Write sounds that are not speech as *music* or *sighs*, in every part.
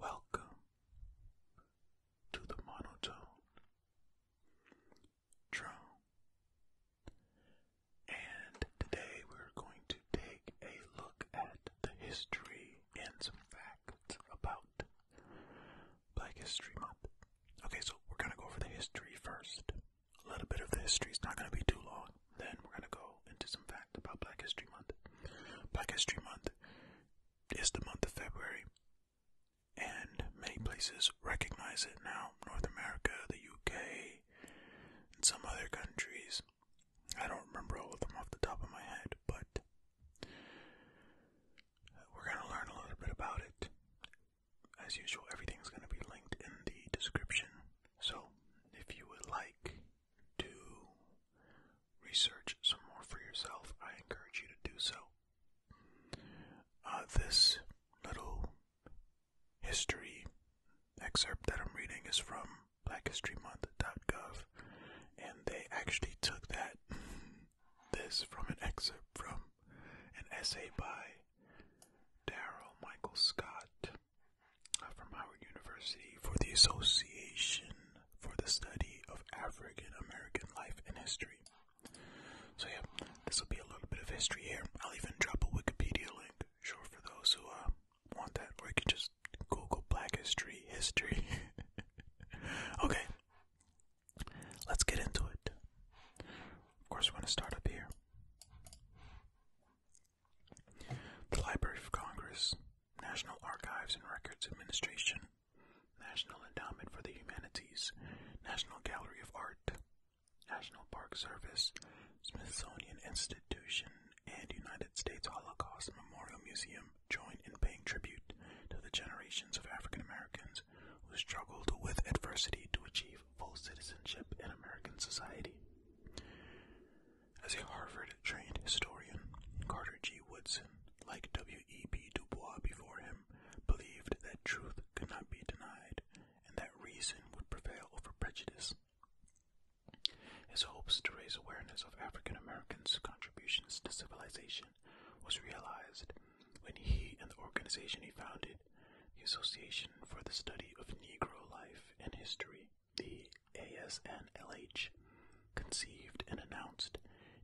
Welcome to the monotone drone. And today we're going to take a look at the history and some facts about Black History Month. Okay, so we're gonna go over the history first. A little bit of the history is not gonna be too long. Then we're gonna go into some facts about Black History Month. Black History Month is the month of February, and many places recognize it now. North America, the UK, and some other countries. I don't remember all of them off the top of my head, but we're going to learn a little bit about it. As usual, everything's going to be linked in the description. So, if you would like to research some more for yourself, I encourage you to do so. Uh, this little history excerpt that I'm reading is from blackhistorymonth.gov, and they actually took that *laughs* this from an excerpt from an essay by Daryl Michael Scott uh, from Howard University for the Association for the Study of African American Life and History. So, yeah, this will be a little bit of history here. I'll even drop a Wikipedia link, sure, for those who uh, want that, or you can just Google Black History History. *laughs* okay, Let's get into it. Of course, we're going to start up here. The Library of Congress, National Archives and Records Administration, National Endowment for the Humanities, National Gallery of Art, National Park Service, Smithsonian Institution, and United States Holocaust Memorial Museum Forum in paying tribute to the generations of African Americans who struggled with adversity to achieve full citizenship in American society. As a Harvard trained historian, Carter G. Woodson, like W.E.B. Du Bois before him, believed that truth could not be denied and that reason would prevail over prejudice. His hopes to raise awareness of African Americans' contributions to civilization was realized when he and the organization he founded, the Association for the Study of Negro Life and History, the ASNLH, conceived and announced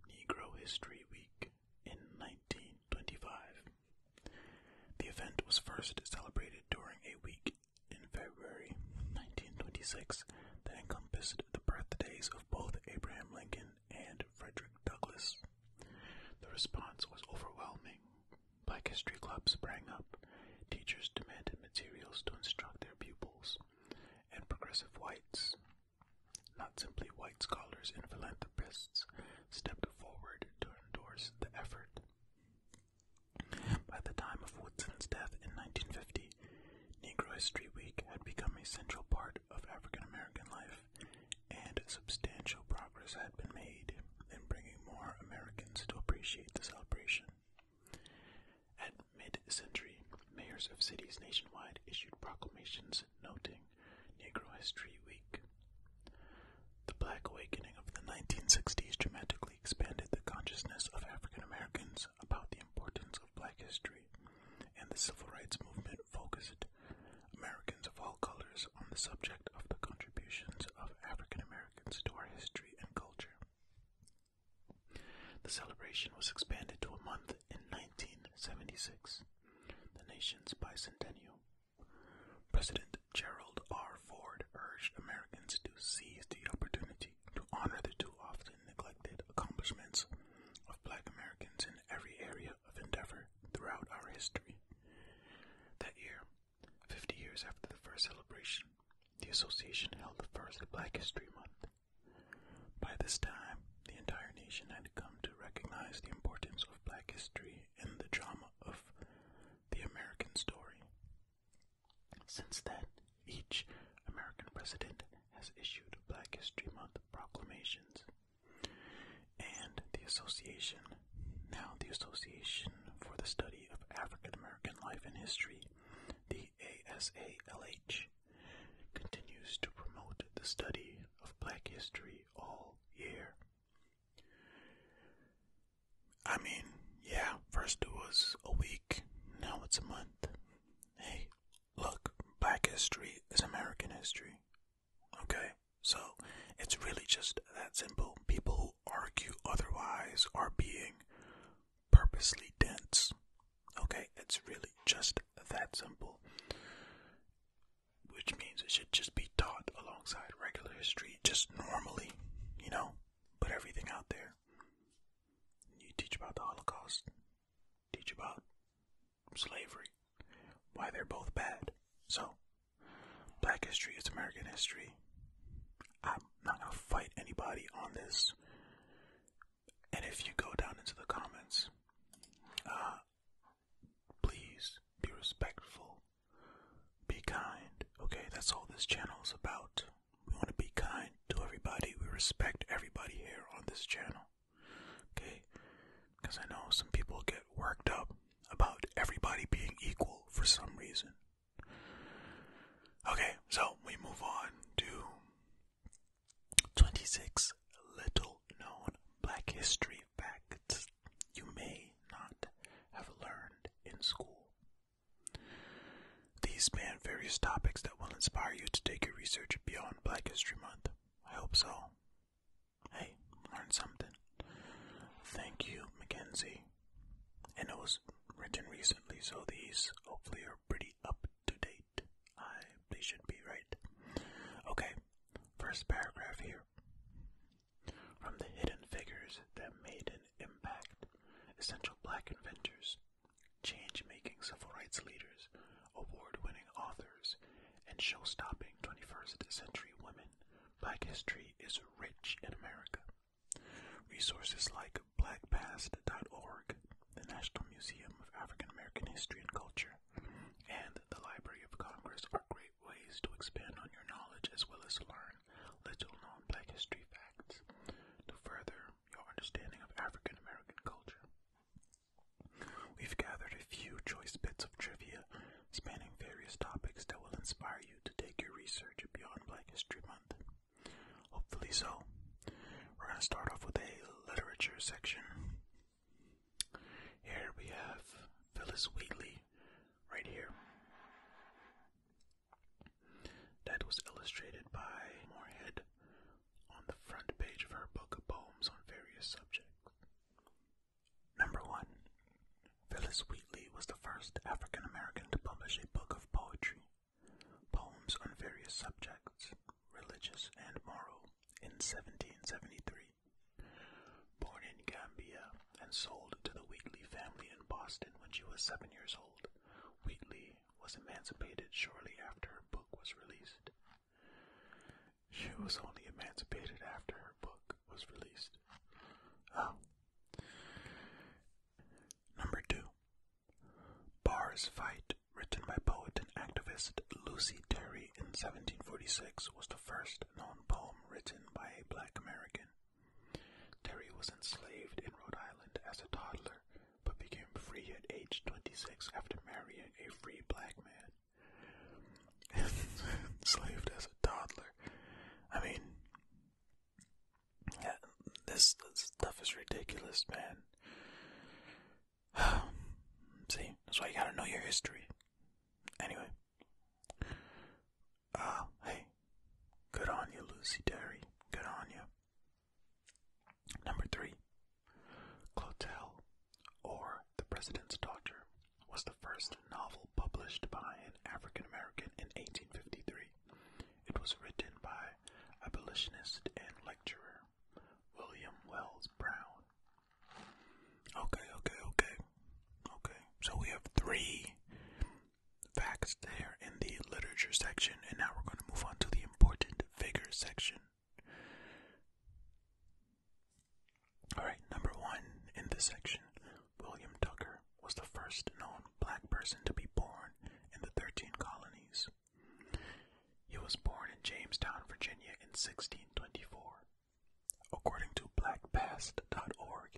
Negro History Week in 1925. The event was first celebrated during a week in February 1926 that encompassed the birthdays of both Abraham Lincoln and Frederick Douglass. The response was overwhelming. Black History Clubs sprang up, teachers demanded materials to instruct their pupils, and progressive whites, not simply white scholars and philanthropists, stepped forward to endorse the effort. By the time of Woodson's death in 1950, Negro History Week had become a central part of African American life, and substantial progress had been made in bringing more Americans to appreciate the celebration. At mid century, mayors of cities nationwide issued proclamations noting Negro History Week. The Black Awakening of the 1960s dramatically expanded the consciousness of African Americans about the importance of black history and the civil rights movement focused Americans of all colors on the subject of the contributions of African Americans to our history and culture. The celebration was expanded to a month in 1976, the nation's bicentennial. President Gerald R. Ford urged Americans to seize the opportunity to honor the too often neglected accomplishments of black Americans in every area of endeavor throughout our history. That year, 50 years after the first celebration, the association held the first Black History Month. By this time, the entire nation had come to recognize the importance of black history in the drama of the American story. Since then, each American president has issued Black History Month proclamations. And the Association, now the Association for the Study of African American Life and History, the ASALH, continues to promote the study of black history all year. I mean, yeah, first it was a week, now it's a month. Hey, look, black history is American history. Okay? So, it's really just that simple. People who argue otherwise are being purposely dense. Okay? It's really just that simple. Which means it should just be taught alongside regular history, just normally, you know? Put everything out there. You teach about the Holocaust, teach about slavery, why they're both bad. So, black history is American history. I'm not gonna fight anybody on this. And if you go down into the comments, uh, please be respectful, be kind. Okay, that's all this channel is about we want to be kind to everybody. We respect everybody here on this channel. Okay? Because I know some people get worked up about everybody being equal for some reason. Okay, so we move on to 26 little known black history facts you may not have learned in school. These span various topics that will inspire you to take your research beyond Black History Month. I hope so. Hey, learn something. Thank you, Mackenzie. And it was written recently, so these hopefully are pretty up to date. I they should be right. Okay, first paragraph here. From the hidden figures that made an impact, essential black inventors change making civil rights leaders, award winning authors, and show stopping 21st century women, black history is rich in America. Resources like blackpast.org, the National Museum of African American History and Culture, and the Library of Congress are great ways to expand on your knowledge as well as learn little known black history facts. No further your understanding of African American culture. We've gathered a few choice bits of trivia spanning various topics that will inspire you to take your research beyond Black History Month. Hopefully so. We're going to start off with a literature section. Here we have Phyllis Wheatley, right here. That was illustrated by Moorhead on the front page of her book of poems on various subjects. Number one, Phyllis Wheatley was the first African American to publish a book of poetry, poems on various subjects, religious and moral, in 1773. Born in Gambia and sold to the Wheatley family in Boston when she was seven years old, Wheatley was emancipated shortly after her book was released. She was only emancipated after her book was released. Oh. Number two. Barr's Fight, written by poet and activist Lucy Terry in 1746, was the first known poem written by a black American. Terry was enslaved in Rhode Island as a toddler but became free at age 26 after marrying a free black man. And *laughs* enslaved as a toddler. I mean, this, stuff is ridiculous, man. *sighs* See, that's why you gotta know your history. Anyway, uh, hey, good on you, Lucy Derry. Good on you. Number three, Clotel, or The President's Daughter, was the first novel published by an African American in 1853. It was written by abolitionist and lecturer William Wells Brown. Okay, okay, okay. Okay, so we have three facts there in the literature section, and now we're going to move on to the important figures section. Alright, number one in this section, William Tucker was the first known black person to be born in the 13 colonies. He was born in Jamestown, Virginia in 1624. According to blackpast.org,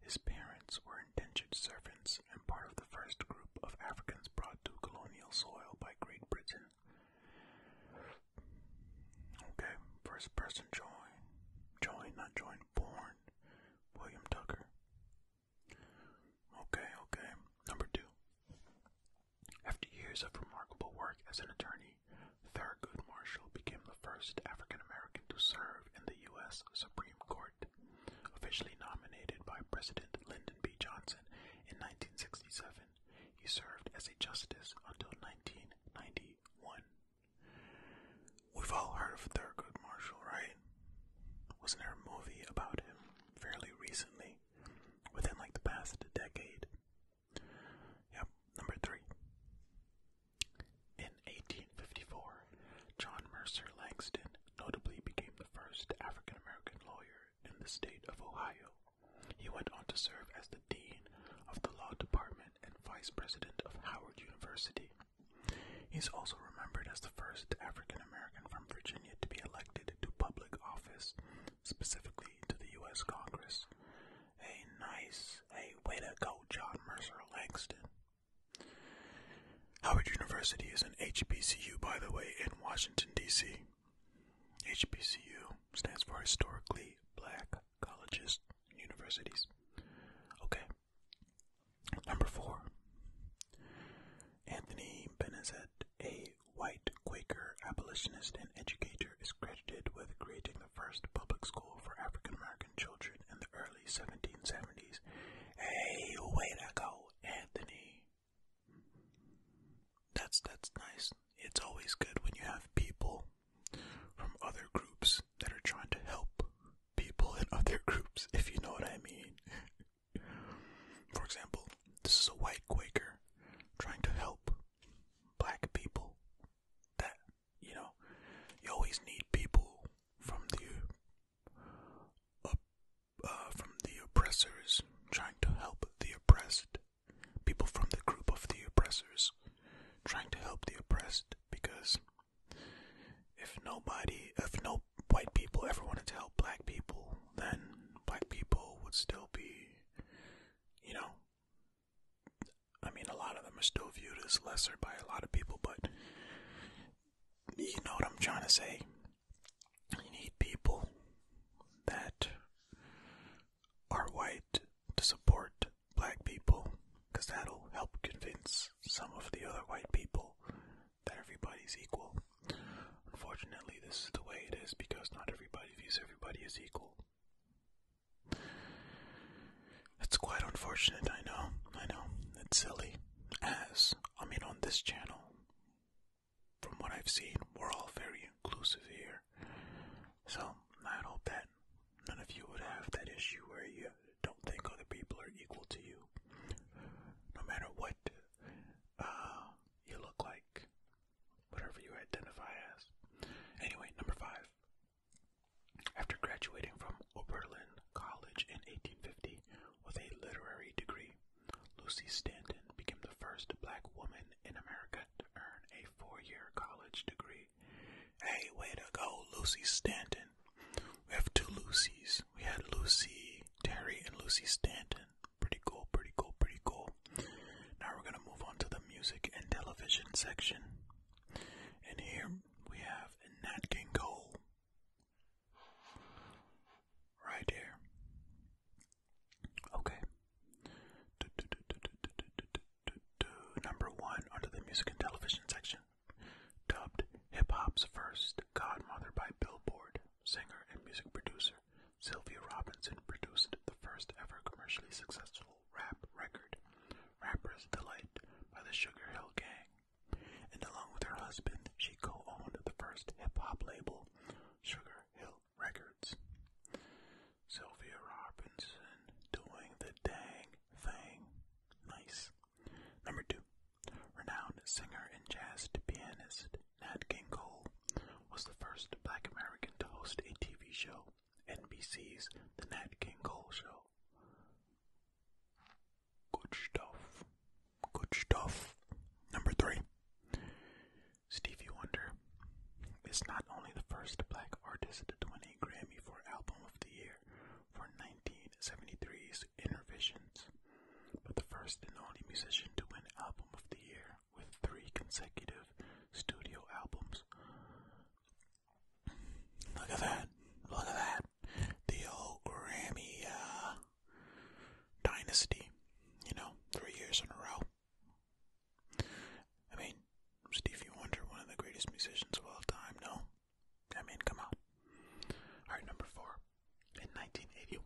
his parents were indentured servants and part of the first group of Africans brought to colonial soil by Great Britain. Okay, first person join, join, not join, born, William Tucker. Okay, okay. Number two. After years of remarkable work as an attorney, Thurgood Marshall became the first African American to serve in the U.S. Supreme Court. Officially nominated by President Lyndon B. Johnson in 1967, he served as a justice until 1991. We've all heard of Thurgood Marshall, right? Wasn't there a movie about him fairly recently, within like the past decade? Yep, number three. In 1854, John Mercer Langston notably became the first African American lawyer in the state of Ohio. He went on to serve as the Dean of the Law Department and Vice President of Howard University. He is also remembered as the first African American from Virginia to be elected to public office, specifically to the U.S. Congress. A nice. Hey, way to go, John Mercer Langston. Howard University is an HBCU, by the way, in Washington, D.C. HBCU stands for Historically Black Colleges and Universities. Okay. Number four. Anthony Benezet, a white Quaker abolitionist and educator, is credited with creating the first public school for African Americans children in the early 1770s. Hey, way to go, Anthony. That's that's nice. It's always good when you have people from other groups that are trying to help people in *laughs* other groups, if you know what I mean. For example, this is a white Quaker trying to help black people. That you know, you always need people from the up, uh, from the oppressors, trying to help the oppressed. People from the group of the oppressors, trying to help the oppressed, because if nobody, if no white people ever wanted to help black people, then black people would still be, you know, I mean, a lot of them are still viewed as lesser by a lot of people, but you know what I'm trying to say. You need people that are white to support black people because that'll help convince some of the other white people that everybody's equal. Unfortunately, this is the way it is because not everybody views everybody as equal. It's quite unfortunate, I know, I know. It's silly. As, I mean, on this channel, from what I've seen, we're all very inclusive here. So, i hope that none of you would have that issue where you don't think other people are equal to you. No matter what uh, you look like, whatever you identify as. Anyway, number five, after graduating from Oberlin College in 1850 with a literary degree, Lucy Stanton became the first black woman in America to earn a four-year college degree. Hey, way to go, Lucy Stanton. We have two Lucys. We had Lucy Terry and Lucy Stanton. Pretty cool, pretty cool, pretty cool. Now we're going to move on to the music and television section. And here we have Nat King Cole right here. Okay. Number one under the music and television section, dubbed hip hop's first godmother by Billboard, singer and music producer Sylvia Robinson produced the first ever commercially successful rap record, Rapper's Delight by the Sugar Hill Gang and along with her husband, she co-owned the first hip-hop label, Sugar Hill Records. Sylvia Robinson doing the dang thing. Nice. Number two, renowned singer and jazz pianist Nat King Cole was the first black American to host a TV show, NBC's The Nat King Cole Show. Good stuff. Good stuff. Number three. Stevie Wonder is not only the first black artist to win a Grammy for Album of the Year for 1973's Intervisions, but the first and only musician to win Album of the Year with three consecutive studio albums. Look at that. Look at that. The old Grammy uh, dynasty. You know, three years in a row. I mean, Stevie Wonder, one of the greatest musicians of all time, no? I mean, come on. Alright, number four. In 1981,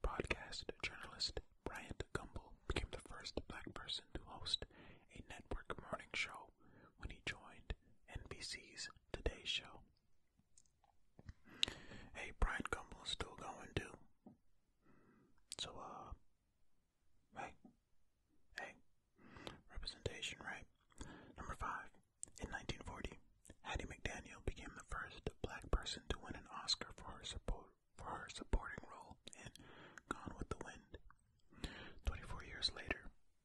broadcast journalist Bryant Gumbel became the first black person to host a network morning show when he joined NBC's Today Show. Hey, Brian Cumberland's still going too. So, uh, hey, hey, representation, right? Number five. In 1940, Hattie McDaniel became the first black person to win an Oscar for her support for her supporting role in Gone with the Wind. Twenty-four years later,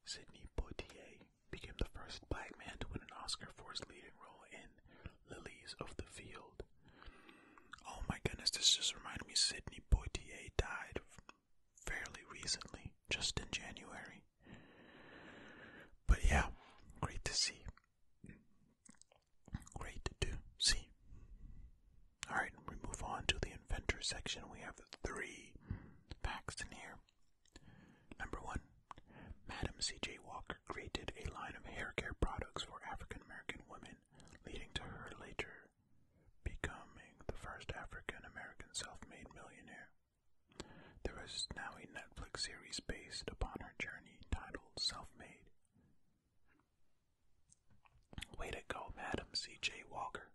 Sidney Poitier became the first black man to win an Oscar for his leading role in Lilies of the Field. Oh my goodness, this just reminded me Sidney Poitier died fairly recently, just in January. But yeah, great to see. Great to see. All right, we move on to the inventor section. We have three facts in here. Number one, Madam C.J. Walker created a line of hair care products for African American women, leading to her later becoming the first African American self-made millionaire. There is now a Netflix series based upon her journey titled Self-Made. Way to go, Madam C.J. Walker.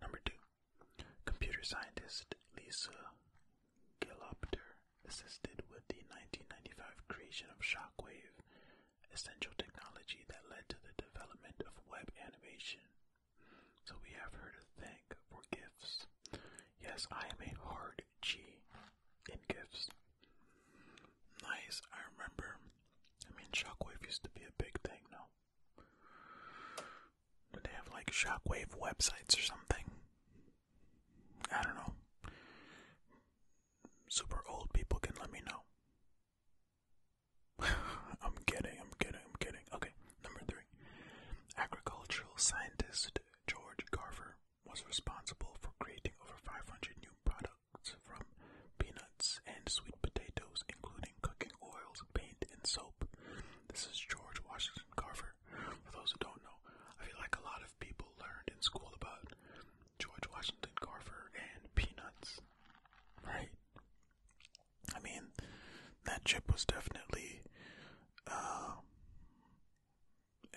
Number two, Computer scientist Lisa Gilopter assisted with the 1995 creation of Shockwave, essential technology that led to the development of web animation. So we have her to thank for gifts. Yes, I am a hard G in gifts. Nice, I remember. I mean, Shockwave used to be a big thing, no? Do they have like shockwave websites or something? I don't know. Super old people can let me know. *laughs* I'm kidding, I'm kidding, I'm kidding. Okay, number three. Agricultural scientist George Garver was responsible for creating over 500 new products from peanuts and sweet potatoes, including cooking oils, paint, and soap. This is George Washington Carver. For those who don't know, I feel like a lot of people learned in school about George Washington Carver and peanuts, right? I mean, that chip was definitely uh,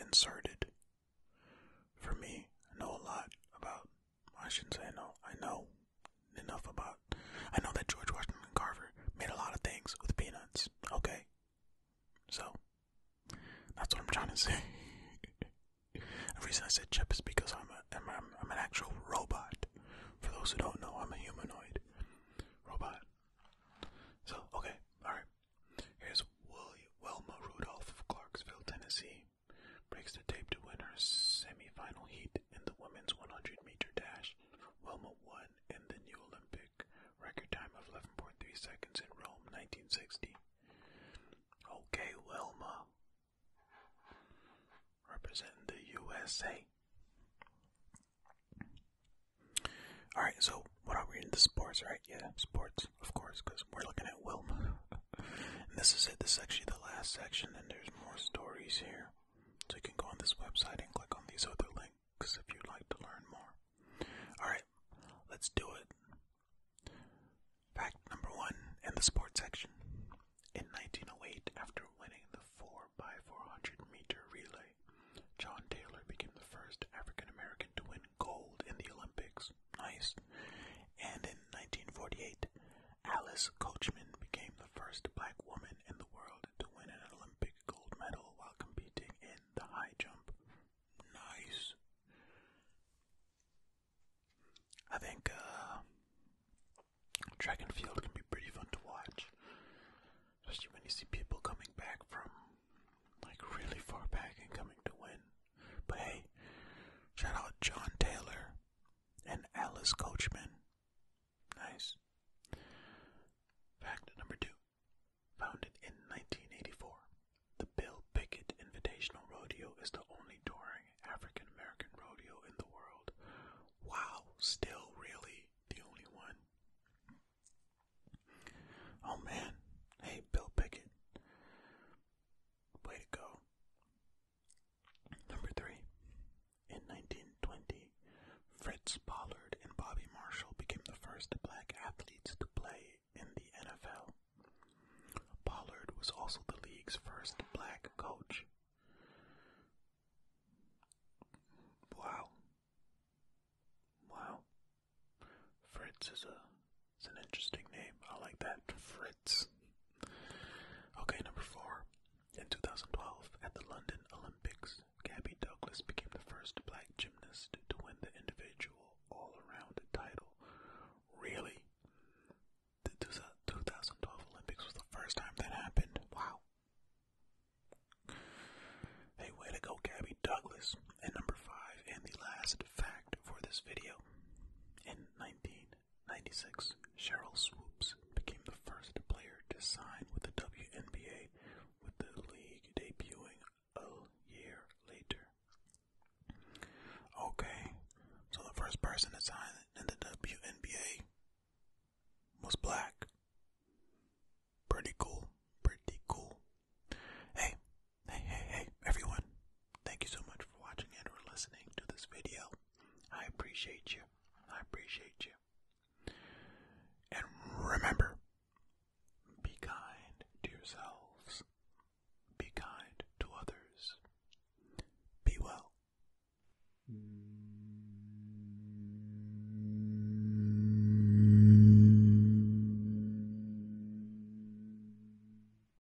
inserted. For me, I know a lot about I shouldn't say I know. I know enough about. I know that George Washington Carver made a lot of things with peanuts. Okay, so that's what I'm trying to *laughs* say. the reason I said chip is because I'm a, an actual robot. For those who don't know, I'm a humanoid robot. So okay, all right. Here's Wilma Rudolph of Clarksville, Tennessee breaks the tape to win her semifinal heat in the women's 100 meter dash. Wilma won in the new Olympic record time of 11.3 seconds in Rome 1960. Okay, Wilma, Represent the USA. All right, so what are we in the sports, right? Yeah, sports, of course, because we're looking at Wilma. *laughs* this is it. This is actually the last section, and there's more stories here. So you can go on this website and click on these other links if you'd like to learn more. Alright, let's do it. Fact number one in the sports section. In 1908, after winning the 4x400 meter relay, John Taylor became the first African American to win gold in the Olympics. Nice and in 1948, Alice Coachman became the first black woman in the world to win an Olympic gold medal while competing in the high jump. Nice. I think uh, track and field can be pretty fun to watch, especially when you see people coming back from like really far back and coming to win. But hey, shout out John Taylor and Alice Coachman. Nice. Fact number two. Founded in 1984, the Bill Pickett Invitational Rodeo is the only touring African American rodeo in the world. Wow, still really the only one. Oh man, hey Bill Pickett. Way to go. Number three. In 1920, Fritz Pollard and Bobby Marshall became the first black athletes to play in the NFL. Pollard was also the league's first black coach. Wow. Wow. Fritz is a it's an interesting name. I like that. Fritz. Okay, number four. In 2012, at the London Olympics, Gabby Douglas became the first black gymnast to win the individual all around title. Really? The 2012 Olympics was the first time that happened. Wow. Hey, way to go, Gabby Douglas. And number five, and the last fact for this video. In 19 Ninety-six, Cheryl Swoopes became the first player to sign with the WNBA, with the league debuting a year later. Okay, so the first person to sign in the WNBA was black. Pretty cool, pretty cool. Hey, hey, hey, hey, everyone, Thank you so much for watching and for listening to this video. I appreciate you. I appreciate you. And remember, be kind to yourselves. Be kind to others. Be well.